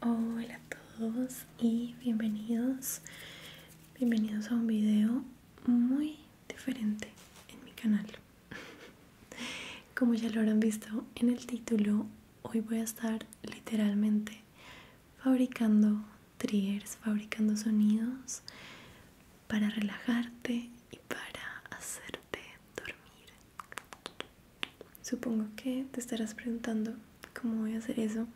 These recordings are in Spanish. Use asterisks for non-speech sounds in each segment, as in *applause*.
Hola a todos y bienvenidos, bienvenidos a un video muy diferente en mi canal. *laughs* Como ya lo habrán visto en el título, hoy voy a estar literalmente fabricando triggers, fabricando sonidos para relajarte y para hacerte dormir. Supongo que te estarás preguntando cómo voy a hacer eso.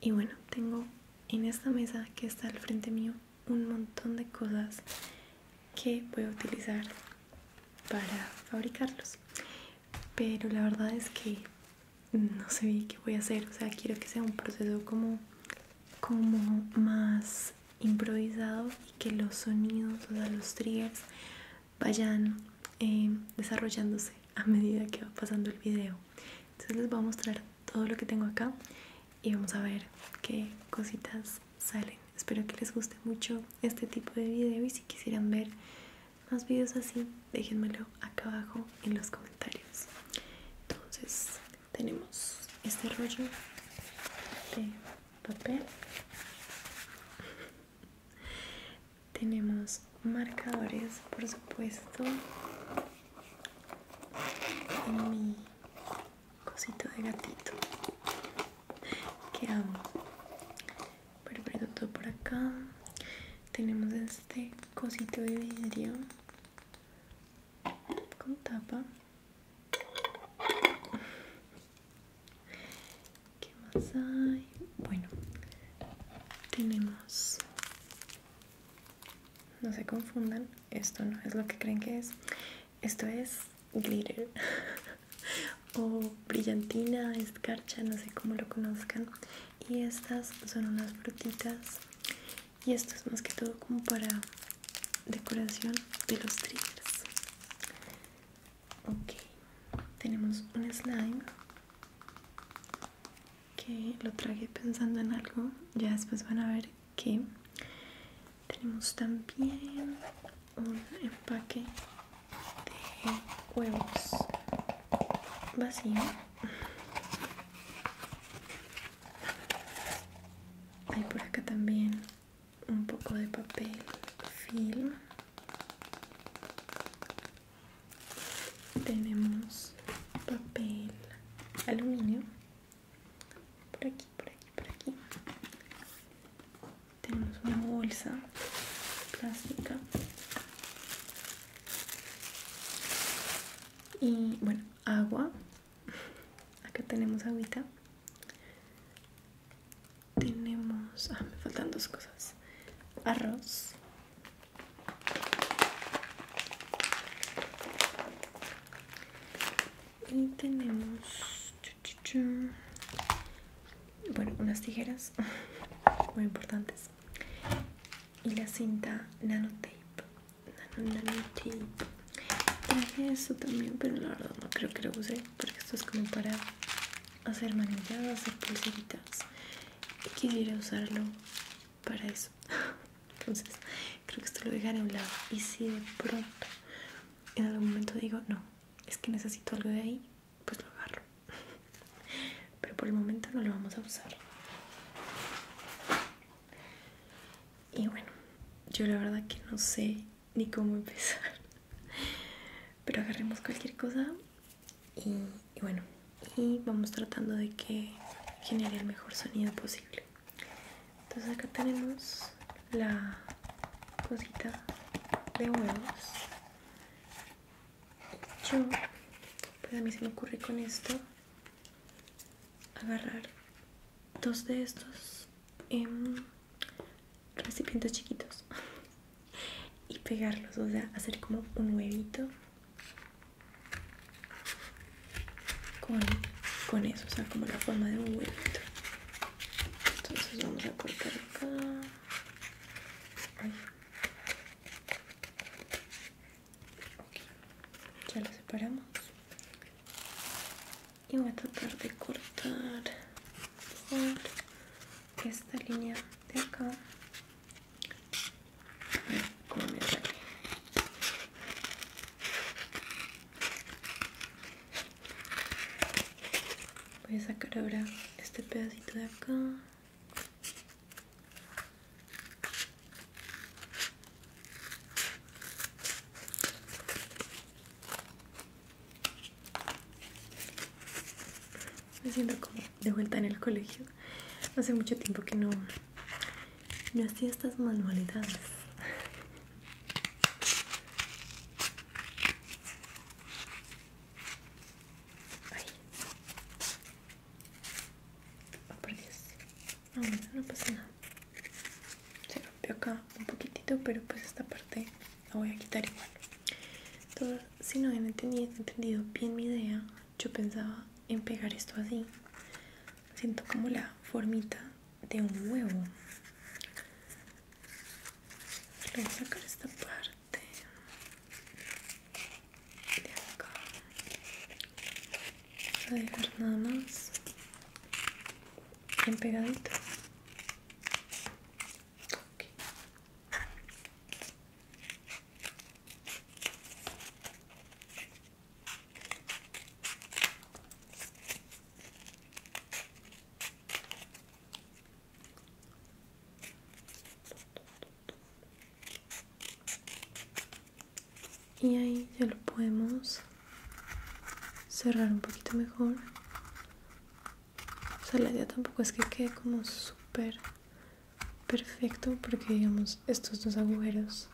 Y bueno, tengo en esta mesa que está al frente mío un montón de cosas que voy a utilizar para fabricarlos. Pero la verdad es que no sé qué voy a hacer. O sea, quiero que sea un proceso como, como más improvisado y que los sonidos, o sea, los triggers vayan eh, desarrollándose a medida que va pasando el video. Entonces les voy a mostrar todo lo que tengo acá y vamos a ver qué cositas salen. Espero que les guste mucho este tipo de video y si quisieran ver más videos así, déjenmelo acá abajo en los comentarios. Entonces tenemos este rollo de papel tenemos marcadores por supuesto y mi cosito de gatito que amo pero todo por acá tenemos este cosito de vidrio con tapa ¿Qué más hay? Bueno, tenemos... No se confundan, esto no es lo que creen que es. Esto es glitter *laughs* o brillantina, escarcha, no sé cómo lo conozcan. Y estas son unas frutitas. Y esto es más que todo como para decoración de los triggers ok tenemos un slime que lo tragué pensando en algo ya después van a ver que tenemos también un empaque de huevos vacío hay por acá también un poco de papel film tenemos papel aluminio por aquí por aquí por aquí tenemos una bolsa plástica y bueno agua *laughs* acá tenemos agüita tenemos ah me faltan dos cosas arroz y tenemos bueno, unas tijeras *laughs* muy importantes y la cinta nanotape. nanotape. Traje esto también, pero la verdad no creo que lo use porque esto es como para hacer manillas, hacer pulseritas quisiera usarlo para eso *laughs* entonces creo que esto lo dejaré a un lado y si de pronto en algún momento digo no es que necesito algo de ahí pues lo agarro *laughs* pero por el momento no lo vamos a usar y bueno yo la verdad que no sé ni cómo empezar *laughs* pero agarremos cualquier cosa y, bueno, y vamos tratando de que genere el mejor sonido posible. Entonces acá tenemos la cosita de huevos. Yo, pues a mí se me ocurre con esto agarrar dos de estos em, recipientes chiquitos *laughs* y pegarlos, o sea, hacer como un huevito con, eso, o sea, como la forma de un huevito. Entonces vamos a cortar acá. Ya lo separamos. Y voy a tratar de cortar por esta línea de acá Voy a sacar ahora este pedacito de acá de vuelta en el colegio. Hace mucho tiempo que no, no hacía estas manualidades. Oh, por Dios. no pasa nada. Se rompió acá un poquitito, pero pues esta parte la voy a quitar igual si no habían entendido bien mi idea, yo pensaba en pegar esto así. Siento como la formita de un huevo. voy a sacar esta parte de acá. voy a dejar nada más bien pegadito. Y ahí ya lo podemos cerrar un poquito mejor. O sea, la idea tampoco es que quede como súper perfecto porque digamos estos dos agujeros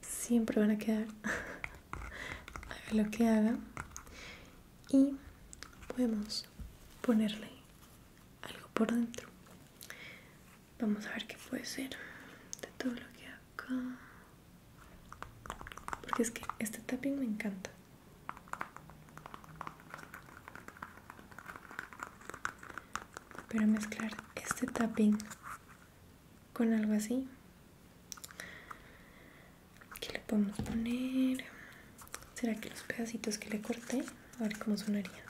siempre van a quedar *laughs* haga lo que haga y podemos ponerle algo por dentro vamos a ver qué puede ser de todo lo que acá porque es que este tapping me encanta pero mezclar este tapping con algo así. ¿Qué le podemos poner? ¿Será que los pedacitos que le corté? A ver cómo sonaría.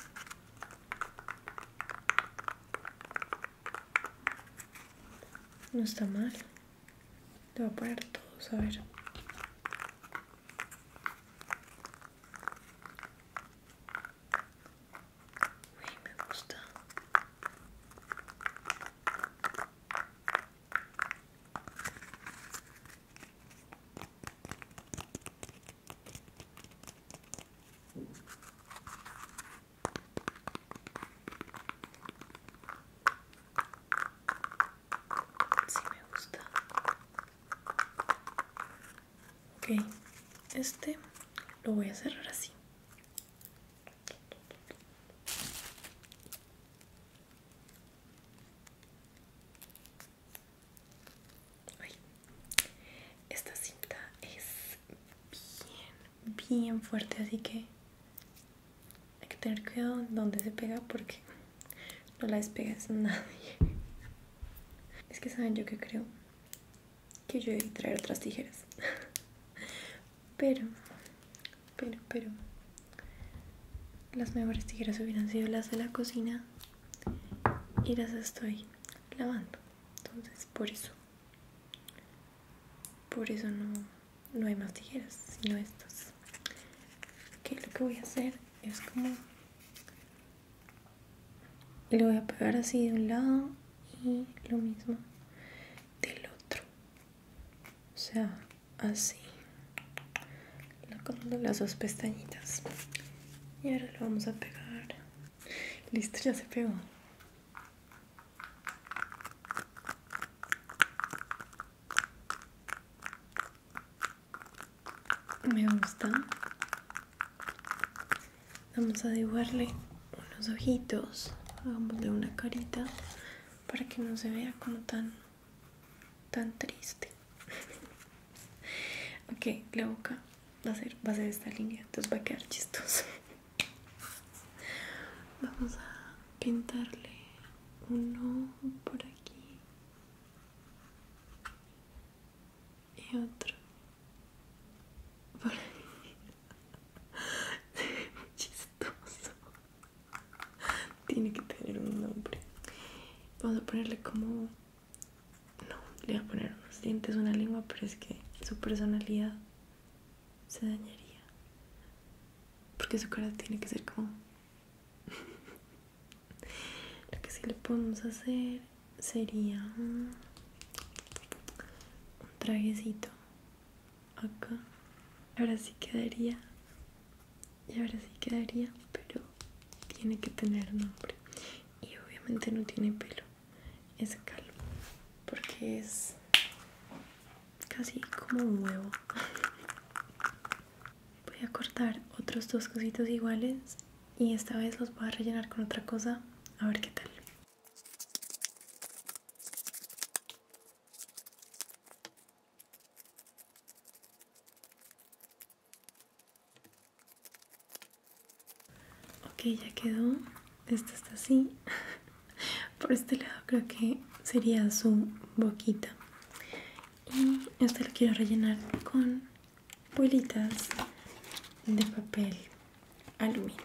No está mal. Te voy a parar todo a ver me gusta. Sí me gusta ok este lo voy a cerrar así esta cinta es bien bien fuerte así que hay que tener cuidado en dónde se pega porque no la despegas a nadie. Es que saben yo que creo que yo debí traer otras tijeras. Pero, pero, pero. Las mejores tijeras hubieran sido las de la cocina y las estoy lavando. Entonces, por eso. Por eso no, no hay más tijeras, sino estas. Que lo que voy a hacer es como le lo voy a pegar así de un lado y lo mismo del otro o sea así con las dos pestañitas y ahora lo vamos a pegar listo ya se pegó me gusta vamos a dibujarle unos ojitos Hagamosle una carita para que no se vea como tan tan triste *laughs* ok la boca va a ser va a ser esta línea entonces va a quedar chistoso *laughs* vamos a pintarle uno por aquí y otro *laughs* chistoso tiene que tener un nombre vamos a ponerle como no le voy a poner unos dientes una lengua pero es que su personalidad se dañaría porque su cara tiene que ser como lo que sí le podemos hacer sería un traguecito acá. Ahora sí quedaría. Y ahora sí quedaría, pero tiene que tener nombre. Y obviamente no tiene pelo. Es calvo. Porque es casi como un huevo. *laughs* Voy a cortar otros dos cositos iguales y esta vez los voy a rellenar con otra cosa a ver qué tal ok ya quedó esto está así *laughs* por este lado creo que sería su boquita y este lo quiero rellenar con bolitas de papel aluminio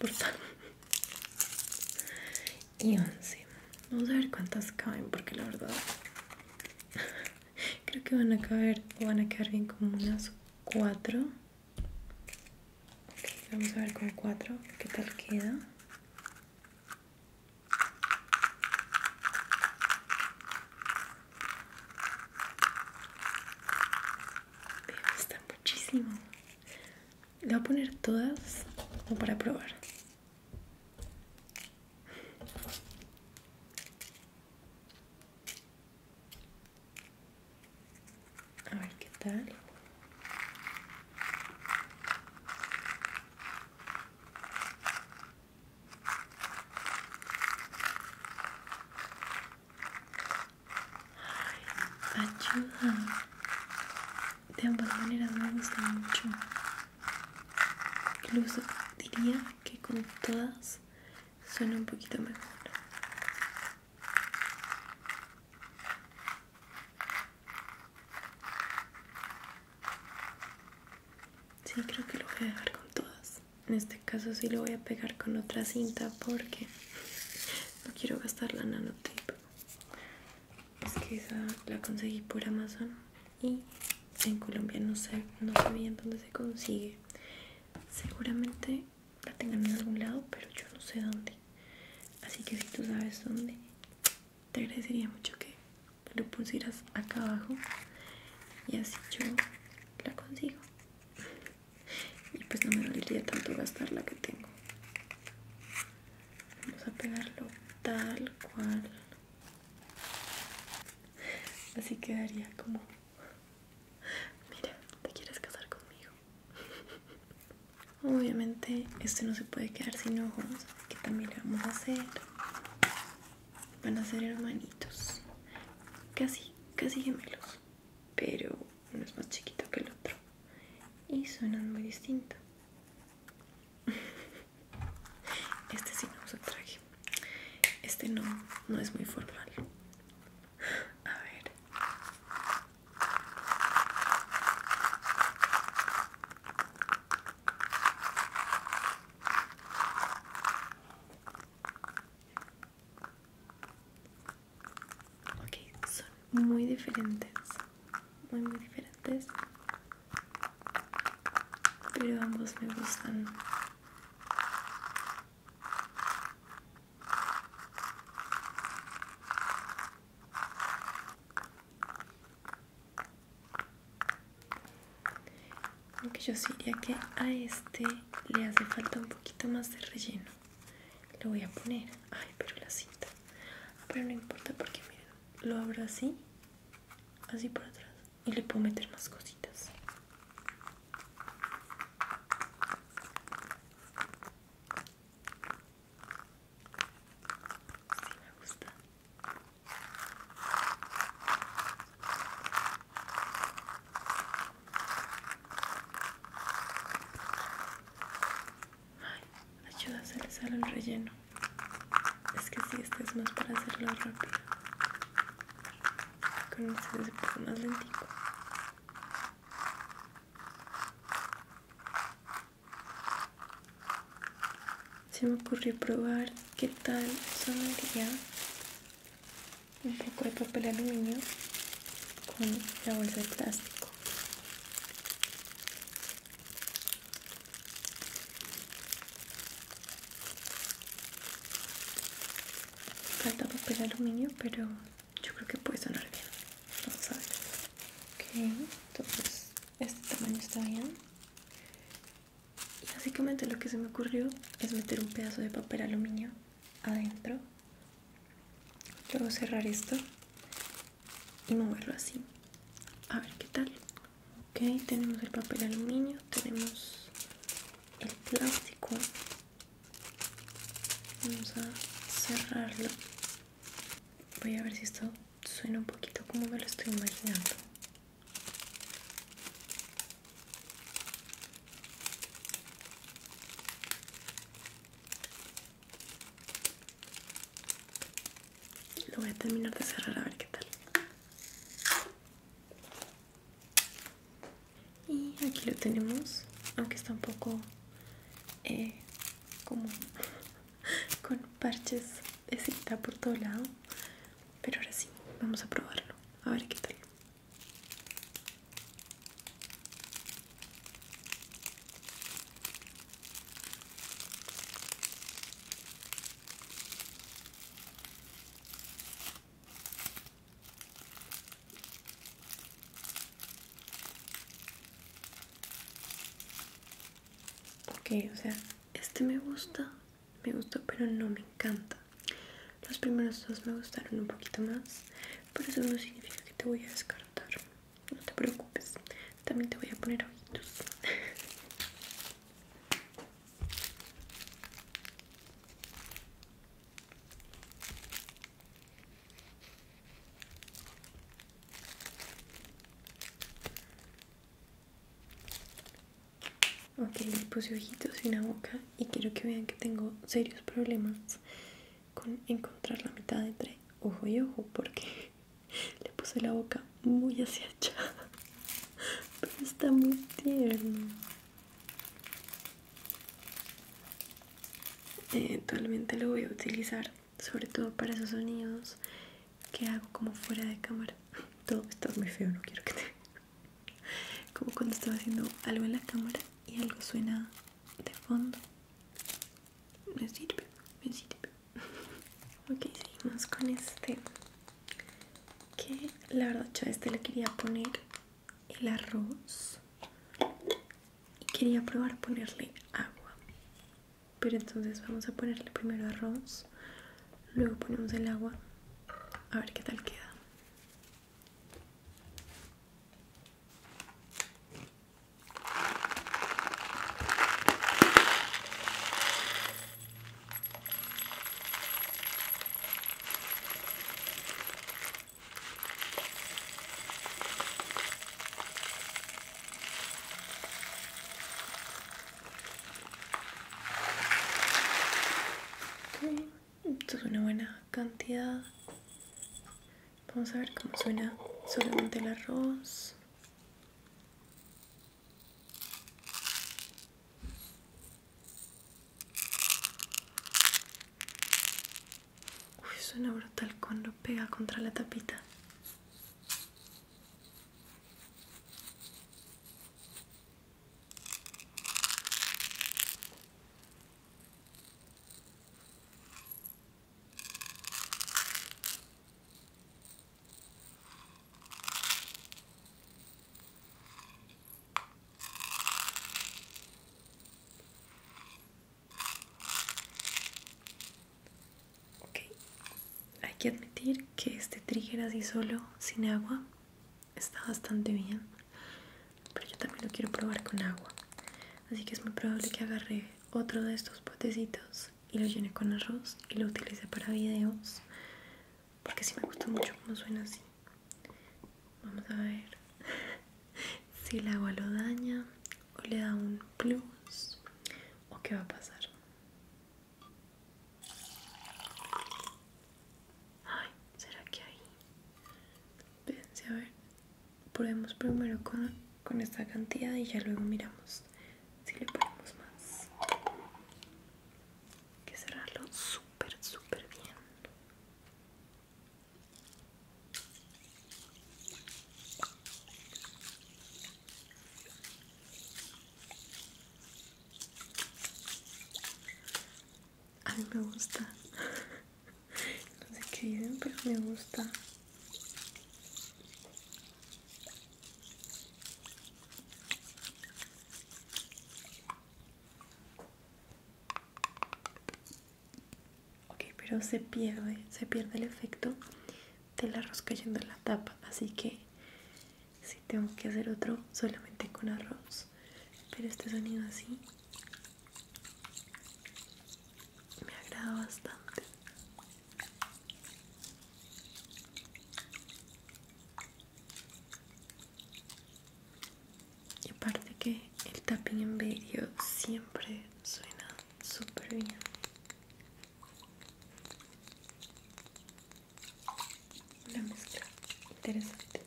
no importa Y 11. Vamos a ver cuántas caben, porque la verdad *laughs* creo que van a caber van a quedar bien como unas 4. vamos a ver con 4 qué tal queda. Está muchísimo. Le voy a poner todas como para probar. A ver qué tal. Ay, de ambas maneras me gusta mucho incluso diría que con todas suena un poquito mejor Sí, creo que lo voy a dejar con todas. En este caso sí lo voy a pegar con otra cinta porque no quiero gastar la nanotape es que esa la conseguí por Amazon y en Colombia no sé, no dónde se consigue. Seguramente la tengan en algún lado, pero yo no sé dónde. Así que si tú sabes dónde, te agradecería mucho que lo pusieras acá abajo y así yo la consigo. Y pues no me valdría tanto gastar la que tengo vamos a pegarlo tal cual así quedaría como mira te quieres casar conmigo obviamente este no se puede quedar sin ojos que también le vamos a hacer van a ser hermanitos casi casi gemelos pero uno es más chiquito que el otro y suenan muy distintos *laughs* Este sí no se traje. Este no, no es muy formal. A ver muy diferentes, muy muy diferentes, pero ambos me gustan. Aunque yo sí diría que a este le hace falta un poquito más de relleno. Lo voy a poner. Ay, pero la cinta. Pero no importa porque miren, lo abro así, así por atrás y le puedo meter más cositas. si me gusta. Ay, ayuda a hacer el relleno. Es que si este es más para hacerlo rápido. Con este es un poco más lentico. Se me ocurrió probar qué tal sonaría un poco de papel aluminio con la bolsa de plástico Falta papel aluminio, pero yo creo que puede sonar bien. Vamos a ver. Ok, entonces este tamaño está bien. básicamente lo que se me ocurrió es meter un pedazo de papel aluminio adentro. Luego cerrar esto y moverlo así a ver qué tal ok tenemos el papel aluminio tenemos el plástico vamos a cerrarlo voy a ver si esto suena un poquito como me lo estoy imaginando lo voy a terminar de cerrar a ver qué tal. Y aquí lo tenemos, aunque está un poco eh, como *laughs* con parches de por todo lado. Pero ahora sí, vamos a probarlo, a ver qué tal. Ok, o sea, este me gusta, me gusta pero no me encanta. Los primeros dos me gustaron un poquito más, pero eso no significa que te voy a descartar no te preocupes también te voy a poner ojitos Ok, le puse ojitos y una boca y quiero que vean que tengo serios problemas con encontrar la mitad entre ojo y ojo porque le puse la boca muy hacia *laughs* pero está muy tierno. Eventualmente lo voy a utilizar sobre todo para esos sonidos que hago como fuera de cámara. *laughs* Todo está muy feo, no quiero que te... *laughs* Como cuando estaba haciendo algo en la cámara y algo suena de fondo me sirve, me sirve. *laughs* ok, seguimos con este. Que la verdad yo este le quería poner el arroz. Y quería probar ponerle agua. Pero entonces vamos a ponerle primero arroz. Luego ponemos el agua. A ver qué tal queda. Esto es una buena cantidad. Vamos a ver cómo suena solamente el arroz. Uy, suena brutal cuando pega contra la tapita. Ok, hay que admitir que este trigger así solo, sin agua, está bastante bien. Pero yo también lo quiero probar con agua. Así que es muy probable que agarre otro de estos potecitos y lo llené con arroz y lo utilicé para videos porque si me gusta mucho cómo suena así. Vamos a ver *laughs* si el agua lo daña o le da un plus o qué va a pasar. Ay, ¿será que ahí? Pensé a ver. Probemos primero con con esta cantidad y ya luego miramos si le ponemos más. Hay que cerrarlo súper, súper bien. A mí me gusta, *laughs* no sé qué dicen, pero me gusta Ok, pero se pierde, se pierde el efecto del arroz cayendo en la tapa, así que si tengo que hacer otro solamente con arroz, pero este sonido así me agrada bastante. Y aparte que el tapping en video siempre suena súper bien. Una mezcla interesante.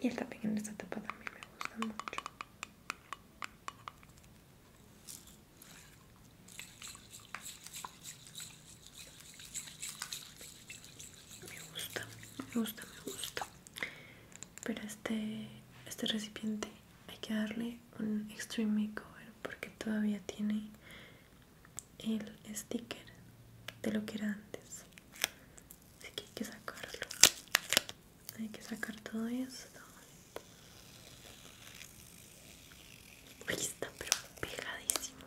Y el tapping en esta tapa también me gusta mucho. Me gusta, me gusta, me gusta. Pero este, este recipiente hay que darle un extreme makeover porque todavía tiene el sticker de lo que era antes. Así que hay que sacarlo. Hay que sacar todo esto ahí está pero pegadísimo.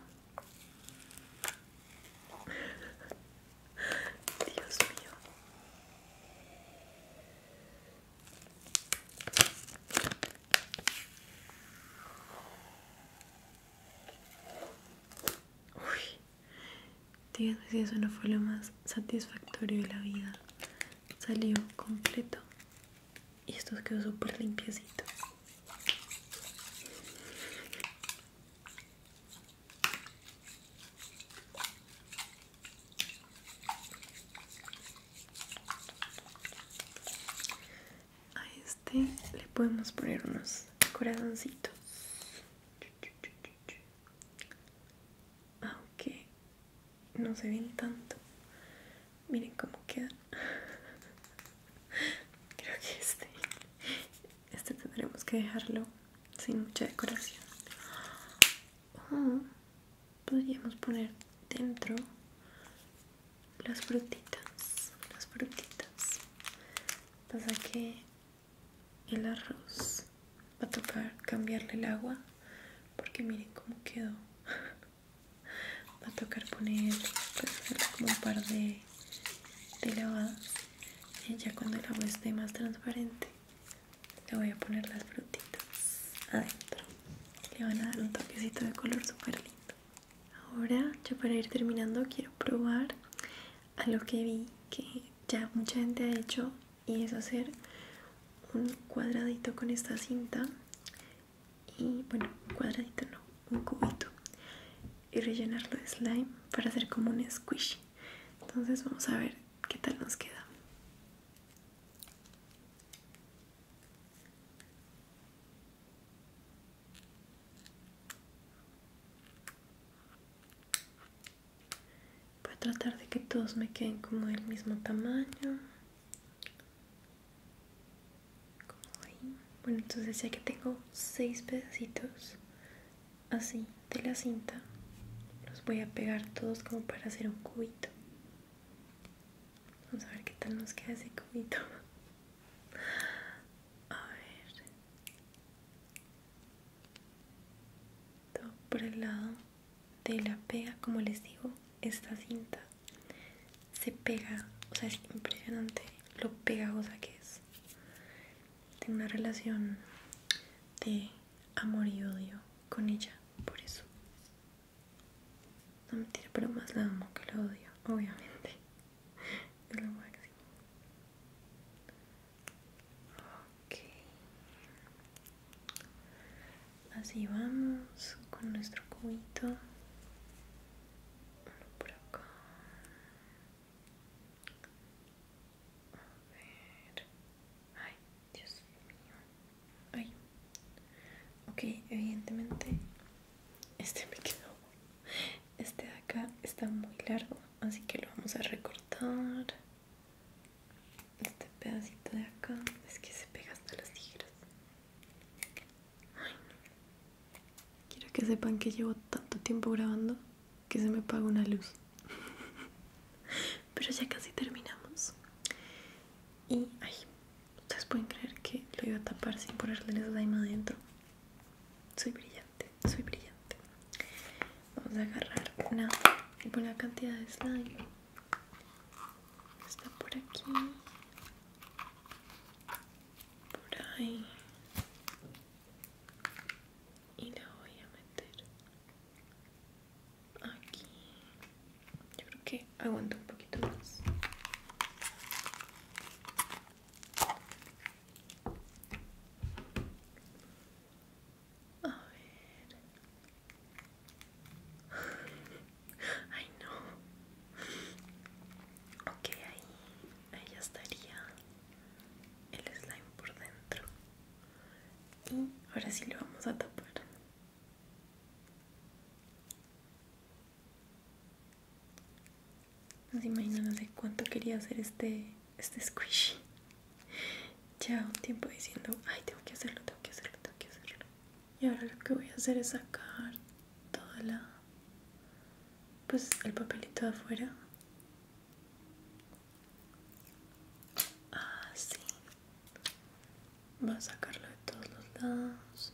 Dios mío. Uy, díganme si eso no fue lo más satisfactorio de la vida. Salió completo y esto quedó súper limpiecito a este le podemos poner unos corazoncitos aunque no se ven tanto miren cómo queda *laughs* creo que este este tendremos que dejarlo sin mucha decoración ah, podríamos poner dentro las frutitas las frutitas pasa que el arroz va a tocar cambiarle el agua porque miren cómo quedó *laughs* va a tocar poner pues, como un par de, lavadas ya cuando el agua esté más transparente le voy a poner las frutitas adentro le van a dar un toquecito de color super lindo ahora ya para ir terminando quiero probar a lo que vi que ya mucha gente ha hecho y es hacer un cuadradito con esta cinta y bueno, cuadradito no, un cubito y rellenarlo de slime para hacer como un squishy. Entonces vamos a ver qué tal nos queda. Voy a tratar de que todos me queden como del mismo tamaño bueno entonces ya que tengo seis pedacitos así de la cinta los voy a pegar todos como para hacer un cubito vamos a ver qué tal nos queda ese cubito a ver todo por el lado de la pega, como les digo, esta cinta se pega, o sea, es impresionante lo pegajosa que es. Tengo una relación de amor y odio con ella, por eso. No mentira, pero más la amo que la odio, obviamente. *laughs* Es máximo así vamos con nuestro cubito uno por acá a ver ay Dios mío ay ok evidentemente este me quedó este de acá está muy largo así que lo vamos a recortar este pedacito de acá es que se pega hasta las tijeras quiero que sepan que llevo tanto tiempo grabando que se me paga una luz. *laughs* Pero ya casi terminamos. Y, ay, ustedes pueden creer que lo iba a tapar sin ponerle el slime adentro. Soy brillante, soy brillante. Vamos a agarrar una buena cantidad de slime está por aquí por ahí y la voy a meter aquí yo creo que aguanta un poquito más a ver Ay no. Ok, ahí, ahí ya estaría el slime por dentro. Y ahora sí lo vamos a tapar. No se imaginan de cuánto quería hacer este, este squishy. Lleva un tiempo diciendo, ay, tengo que hacerlo, tengo que hacerlo, tengo que hacerlo y ahora lo que voy a hacer es sacar toda pues el papelito de afuera así ah, va a sacarlo de todos los lados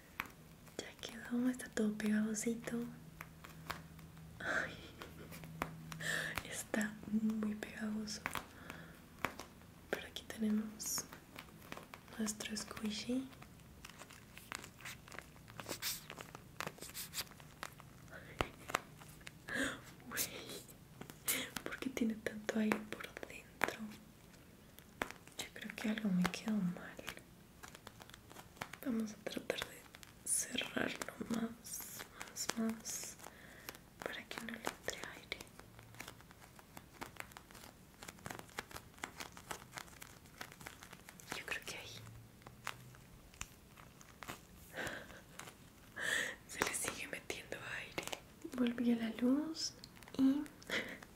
Ya quedó, está todo pegadosito está muy pegadoso Pero aquí tenemos nuestro squishy. ¿Por qué tiene tanto aire por dentro? Yo creo que algo me quedó mal. Vamos a tratar de cerrarlo más, más, más para que no le entre aire. Yo creo que ahí *laughs* se le sigue metiendo aire. Volví a la luz y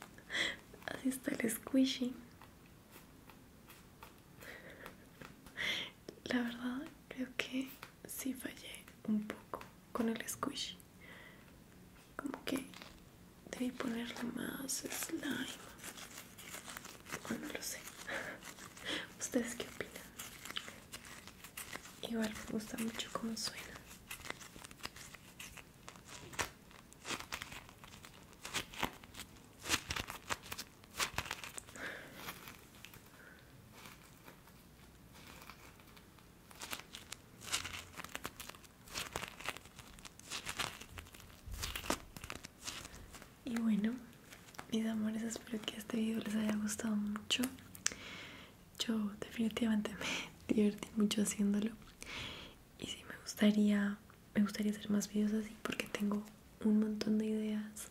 *laughs* así está el squishy. *laughs* La verdad, creo que sí fallé un poco con el squishy. Como que debí ponerle más slime. Bueno, no lo sé. *laughs* ¿Ustedes qué opinan? Igual me gusta mucho cómo suena. Y bueno, mis amores, espero que este video les haya gustado mucho. Yo definitivamente *laughs* me divertí mucho haciéndolo y sí me gustaría me gustaría hacer más videos así porque tengo un montón de ideas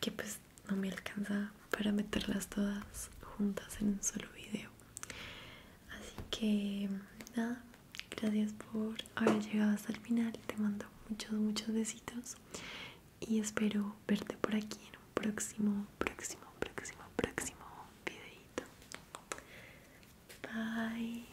que pues no me alcanza para meterlas todas juntas en un solo video así que nada gracias por haber llegado hasta el final te mando muchos muchos besitos y espero verte por aquí en un próximo próximo próximo próximo videito bye